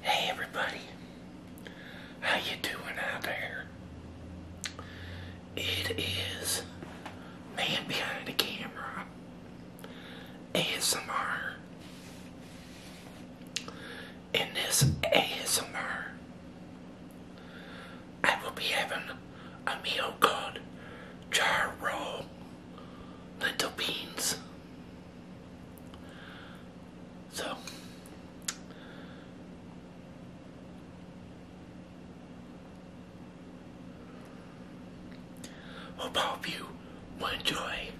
Hey everybody, how you doing out there? It is man behind the camera, ASMR. In this ASMR, I will be having a meal called jarro roll lentil beans. So, hope all of you will enjoy.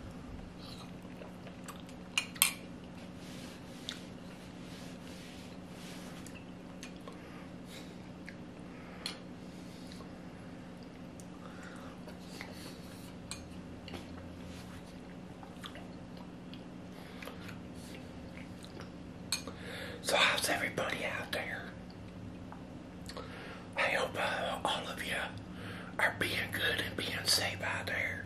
So how's everybody out there? I hope uh, all of you are being good and being safe out there.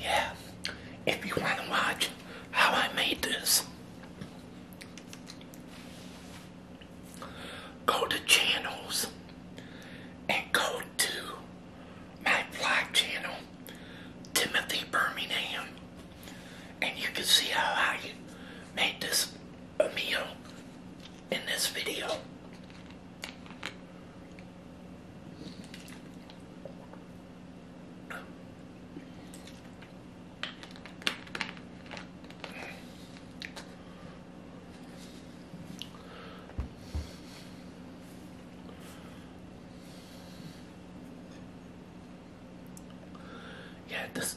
Yeah, if you want to watch how I made this, go to channels and go to my vlog channel, Timothy Birmingham, and you can see how I made this meal in this video. Yeah, this.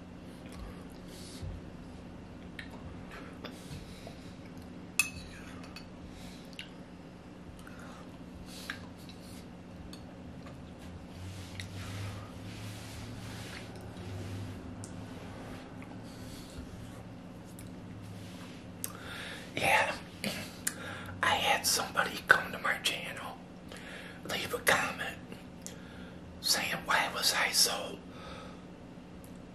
Yeah, I had somebody come to my channel, leave a comment saying, Why was I so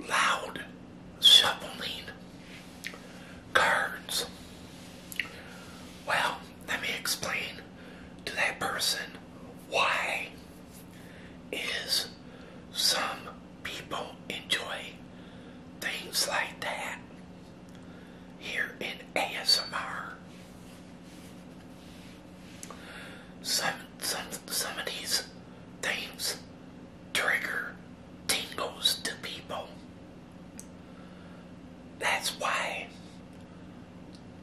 loud shuffling cards. Well, let me explain to that person why is some people enjoy things like that here in ASMR. Some of these things trigger tingles to people. That's why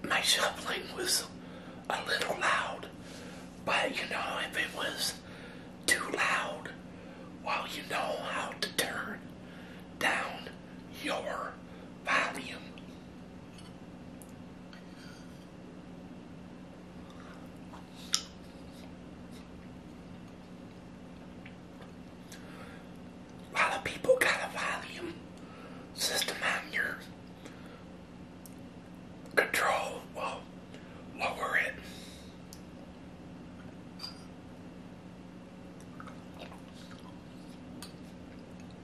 my shuffling was a little loud, but you know, if it was too loud, well, you know how to turn down your volume. A lot of people got a volume system on your control. Well, lower it.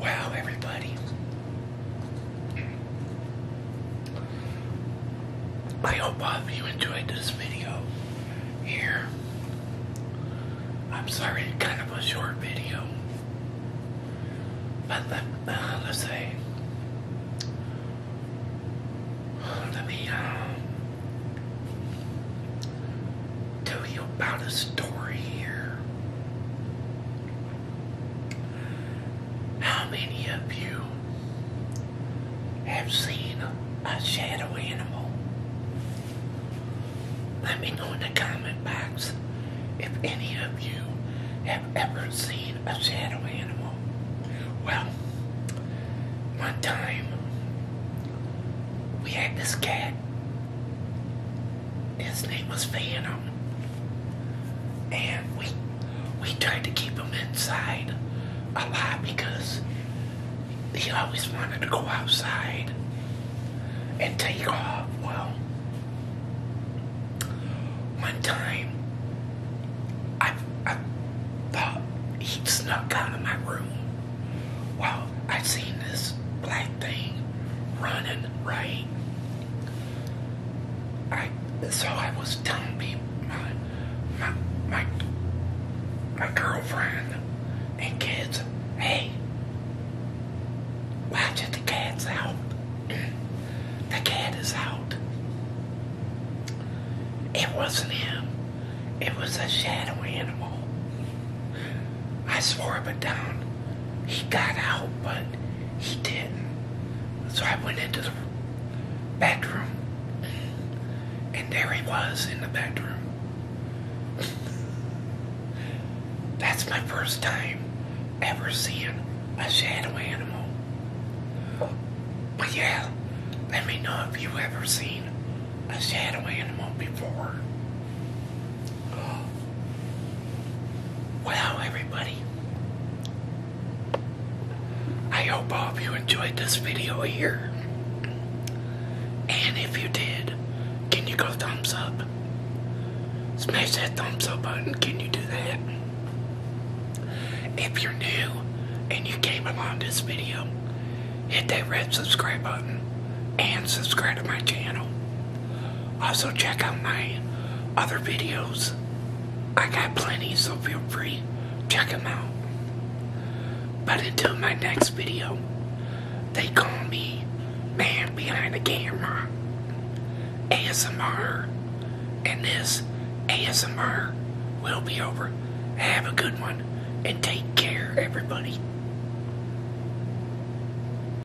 Wow, everybody. I hope all of you enjoyed this video here. I'm sorry, it kind of a short video. But let, uh, let's say, let me uh, tell you about a story here. How many of you have seen a shadow animal? Let me know in the comment box if any of you have ever seen a shadow animal. Well, one time we had this cat. His name was Phantom and we we tried to keep him inside a lot because he always wanted to go outside and take off. Well, one time I, I thought he snuck out of my room. Well, I seen this black thing running right I so I was telling people my my my my girlfriend and kids, hey, watch it, the cat's out. the cat is out. It wasn't him. It was a shadow animal. I swore up and down. He got out, but he didn't. So I went into the bedroom, and there he was in the bedroom. That's my first time ever seeing a shadow animal. But yeah, let me know if you ever seen a shadow animal before. Well, everybody, I hope all of you enjoyed this video here. And if you did, can you go thumbs up? Smash that thumbs up button, can you do that? If you're new and you came along this video, hit that red subscribe button and subscribe to my channel. Also, check out my other videos. I got plenty, so feel free. Check them out. But until my next video, they call me Man Behind the Camera, ASMR, and this ASMR will be over. Have a good one, and take care, everybody.